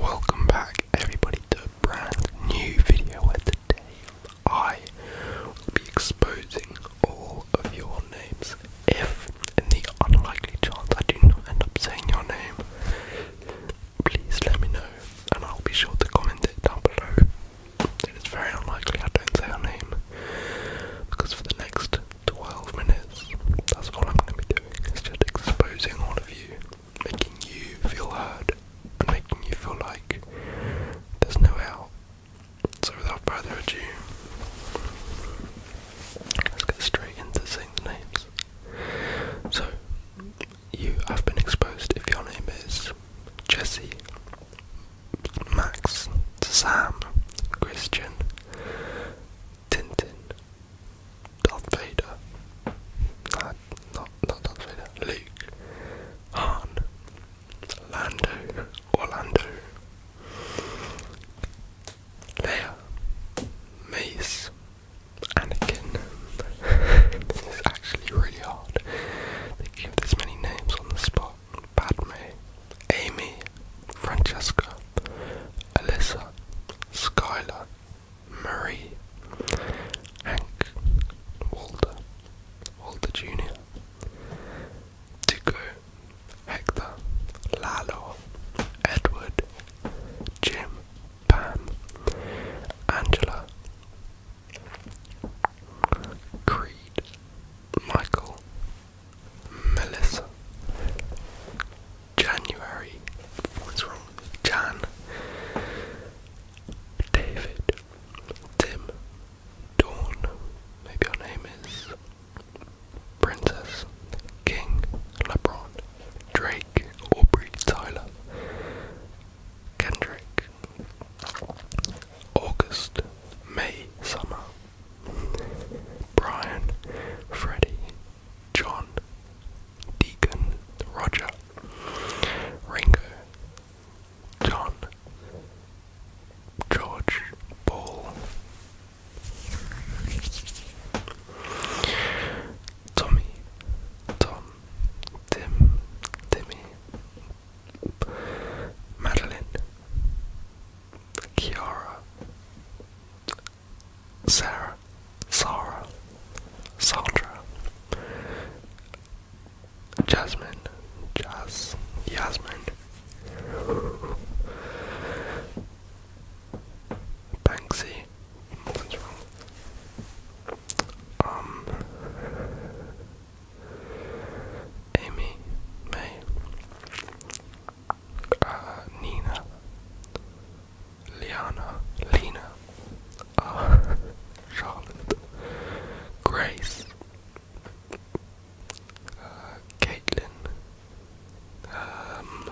Welcome back, everybody, to a brand new video where today I will be exposing all of your names. If, in the unlikely chance, I do not end up saying your name, please let me know and I'll be sure to comment it down below. It is very unlikely I don't say her name because for the next 12 minutes, that's all I'm going to be doing is just exposing all of you, making you feel heard, and making you feel like there's no out. So, without further ado, let's get straight into saying the names. So, you have been exposed if your name is Jesse, Max, Sam, Christian, Tintin, Darth Vader, nah, not, not Darth Vader, Luke, Han, Lando, Orlando, Leia, Mace, Anakin. this is actually really they give this many names on the spot Padme, Amy, Francesca, Alyssa, Skylar, Marie, Hank, Walter, Walter Jr., Tico, Hector, Lalo, Edward, Jim, Pam, Angela, Creed, Michael, Melissa, January, what's wrong Jan, David, Tim, Dawn, maybe your name is Princess, King, LeBron, Drake, Aubrey, Tyler, Kendrick, August, May, Summer, Brian, Freddie, John, Deacon, Roger, Ringo, John, George, Paul, Tommy, Tom, Tim, Timmy, Madeline, Kiara, Sarah, Sarah, Sandra, Jasmine, Jazz, Yasmin, Banksy, what's wrong? Um, Amy, May, uh, Nina, Liana, Lena, uh, Charlotte, Grace, uh, Caitlin. Um,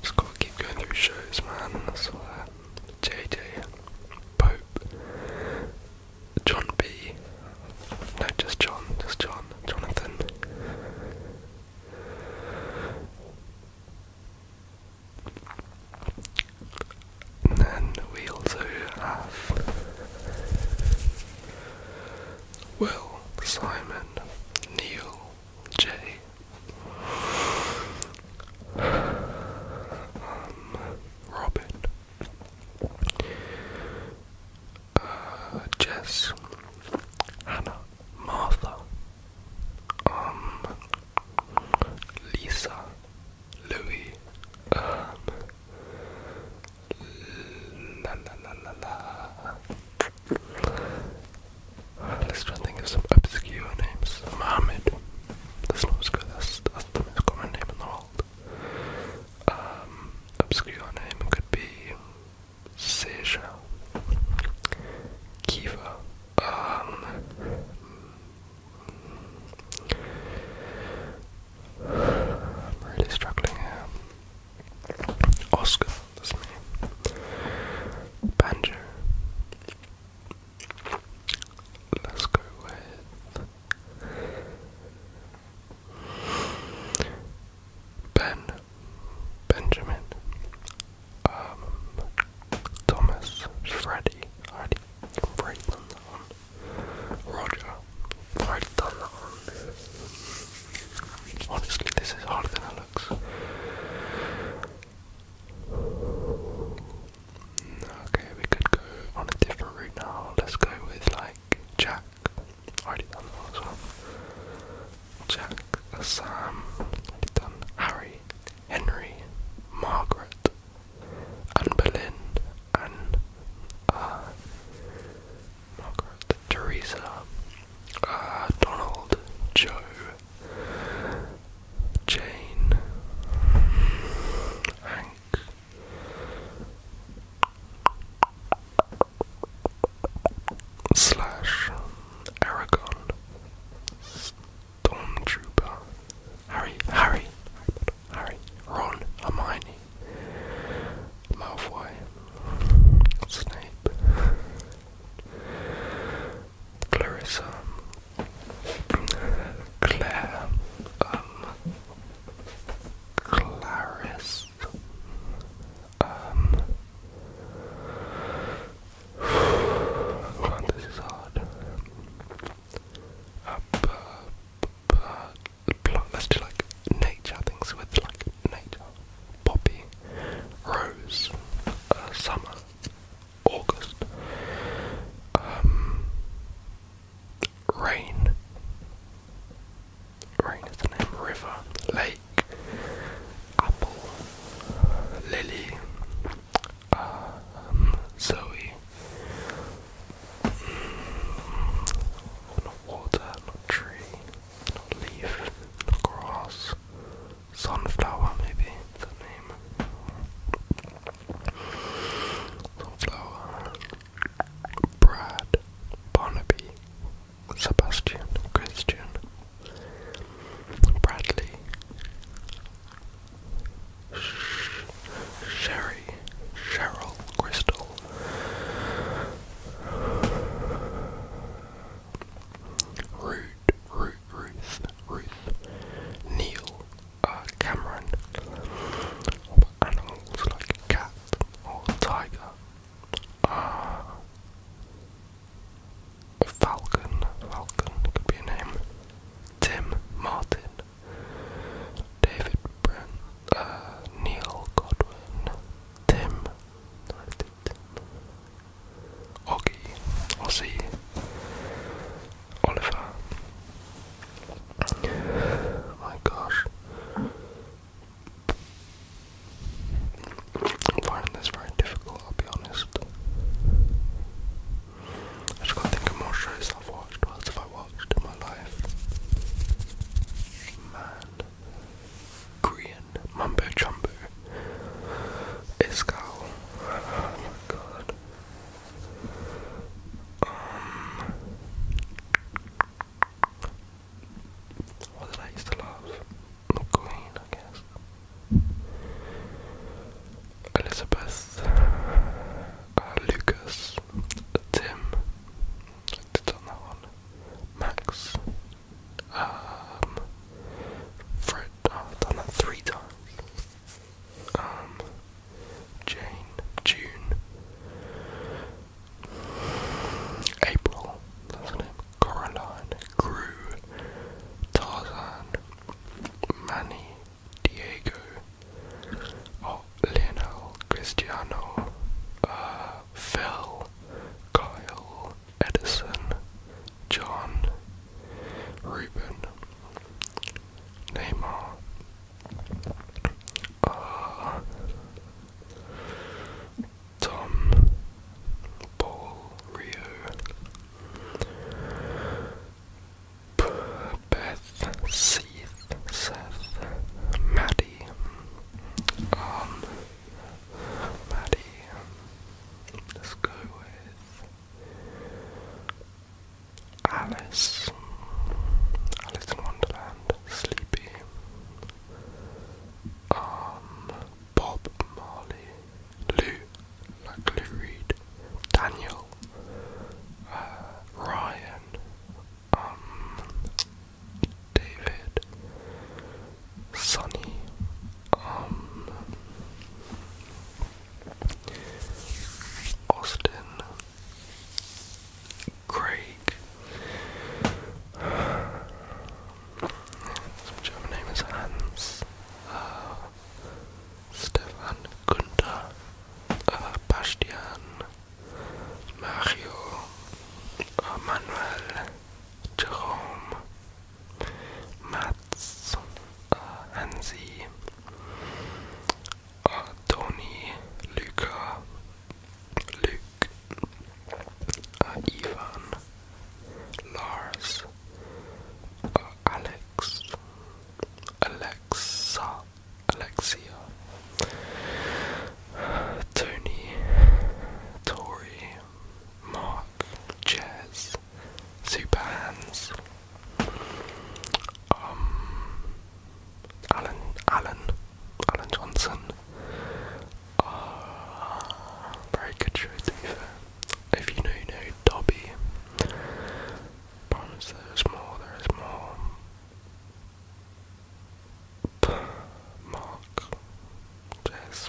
just gotta keep going through shows, man. J.J. Pope, John B. No, just John, just John, Jonathan. then we also have Will, Simon, Neil, J um, Robin, uh, Jess, Hannah, Martha, um, Lisa, Louis, um, la la la la la. Let's try and think of some obscure names. Mohammed the snow squid, that's, the most common name in the world. Um, obscure name could be Seychelles, Kiva, um, I'm really struggling here. Oscar, that's me. Banjo, Let's go with Ben, Benjamin, um, Thomas, Freddy, I done that one. Roger. already done that one. Honestly, this is harder than it looks. Okay, we could go on a different route now. Let's go with like Jack. I already done that as well. Jack, Sam, already done. Harry, Henry, Margaret, and Berlin, and uh, Margaret, Teresa, uh, Donald, Joe, Jane, Hank, Slash, Aragon, Stormtrooper, Harry, Harry, Harry, Ron, Hermione, Malfoy, Snape, Clarissa, Claire, um, Clarice, um, this is hard. Uh, let's do like nature things with like nature. Poppy, rose, uh, summer, August. Um, rain. Rain is the name. River, lake, apple, lily, um, Zoe. not water, not tree, not leaf, not grass. Sunflower, maybe the name. Flower, Brad, Barnaby, Sebastian, Christian, Bradley, Sherry, Cheryl, Crystal. Root, Root, Ruth, Ruth, Neil, uh, Cameron animals like cat or tiger uh, Falcon, Falcon could be a name Tim Martin David Brent, uh, Neil Godwin Tim Oggy, Aussie Oliver. My gosh. I find this very difficult, I'll be honest. I just can't think of more shows I've watched. What else have I watched in my life? Man. Korean. Mumbo Jumbo. Iskal. Oh my god. Um, did I used to love? McQueen, I guess. Elizabeth, uh, Lucas, Tim, I did on that one. Max, um, oh, done that three times. Um, Jane, June, April, that's Crew, name, Coraline, Tarzan, Manny, Diego, oh, Cristiano, uh, Phil, Kyle, Edison, John, Ruben, Neymar. Uh, Tom Paul Rio Beth Seth Maddie um Maddie let's go with Alice, Alice in Wonderland, Sleepy, um, Bob Marley, Lou, like Lou Reed, Daniel, uh, Ryan, um, David, Sonny, um, Austin, Craig. Some German name Hans, uh, Stefan, Gunther, uh, Bastian, Mario, uh, Manuel, Jerome, Mats, Hansi, Tony, Luca, Luke, uh, Ivan, Lars, uh, Alex, Alexa, Alexia, Tony, Tori, Mark, Jez, Superhands, um, Alan, Alan, Alan Johnson. Uh, very good If you know, know Dobby. Promise there is more, there is more. Mark, Jess,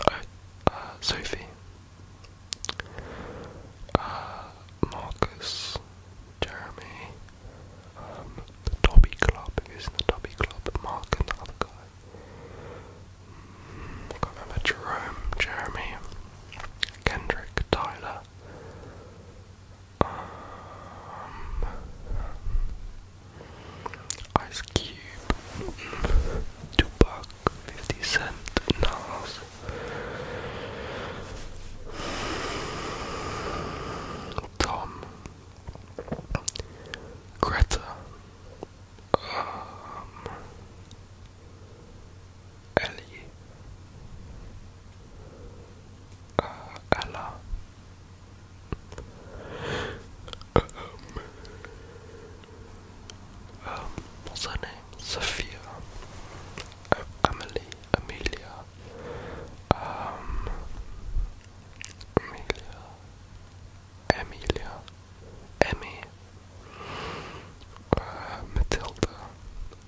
oh, uh, Sophie, uh, Marcus, Jeremy, um, the Dobby Club, who's in the Dobby Club, Mark and the other guy. Mm, I can't remember, Jerome, Jeremy, Kendrick, Tyler, um, Ice Cube, Tupac, 50 cent Nas. Tom. Greta. Um, Ellie. Uh, Ella. Um, um, what's her name? Sophia. Emily, Amelia, um, Amelia, Amelia, Emmy, uh, Matilda,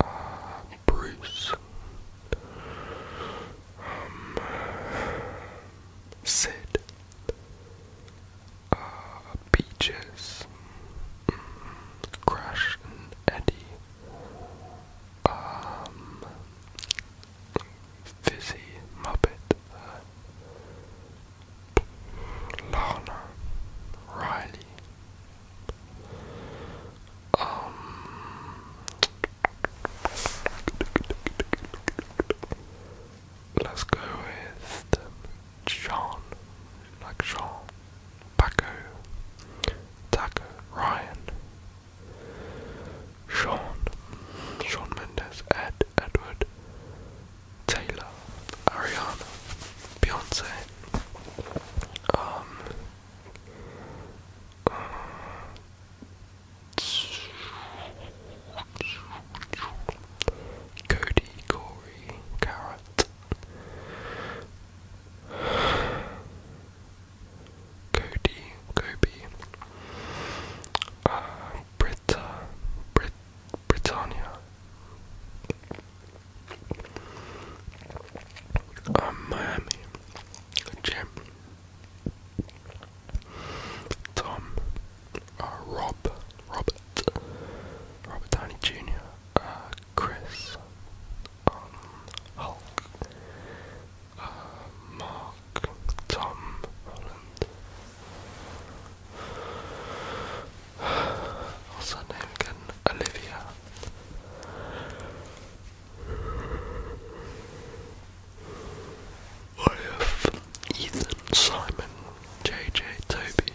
uh, Bruce, um, Sid, uh, Peaches, Crash and Eddie, um, Fizzy Muppet, uh, Lana, Riley, um, let's go with Sean, like Sean, Paco, Taco, Ryan, Sean, Sean Mendes, Ed, Edward, Taylor, Ariana, Beyonce, um, uh, Cody, Corey, Carrot, Cody, Kobe, uh, Britta, Brit, Britannia. Um, Miami, Jim, Tom, uh, Rob, Robert, Robert Downey Jr., uh, Chris, um, Hulk, uh, Mark, Tom Holland. What's her Olivia. I have uh, Ethan, Simon, JJ, Toby,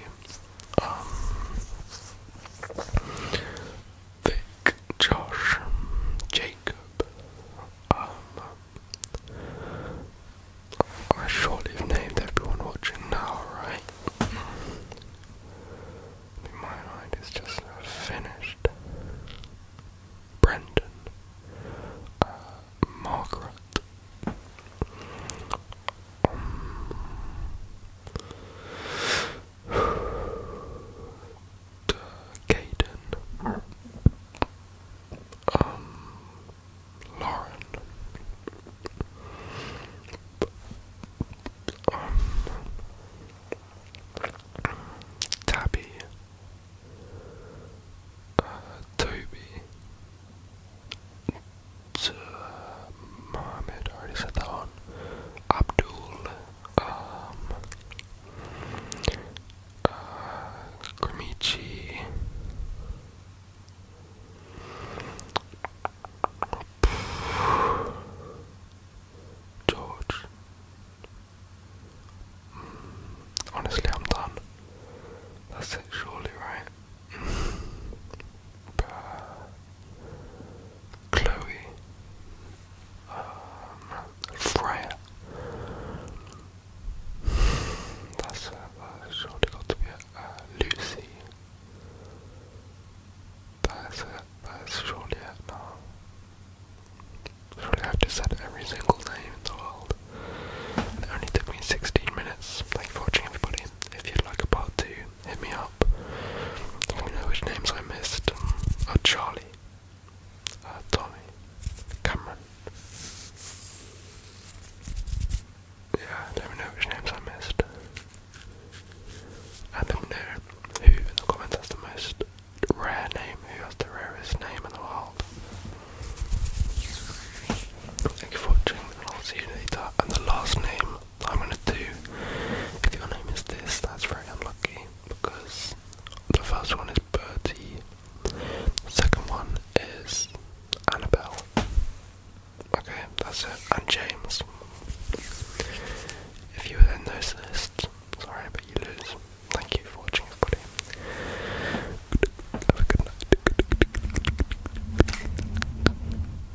Vic, Josh, Jacob, um, I surely have named everyone watching now, right? I my mind is just finished. Brendan, uh, Margaret, um, to Caden, um, Lauren, um, Tabby, uh, Toby. Mohammed, I Abdul, um, uh, George. Mm, honestly, I'm done. That's it, surely, right? Chloe, um, Freya. That's, uh, surely got to be uh, Lucy. That's it. That's surely it now. I've just said every single name in the world. it only took me 16 minutes. Thank you for watching, everybody. If you'd like a part two, hit me up. Let me know which names I missed. Uh, Charlie, uh, Tommy, Cameron. Yeah, let me know which names I missed. And let me know who in the comments has the most rare name, who has the rarest name in the world. Thank you for watching, I'll see you later. And the last name I'm gonna do. If your name is this, that's very unlucky because the first one is Bertie, the second one is Annabelle. Okay, that's it, and James. If you were in those lists, sorry, but you lose. Thank you for watching, everybody. Have a good night.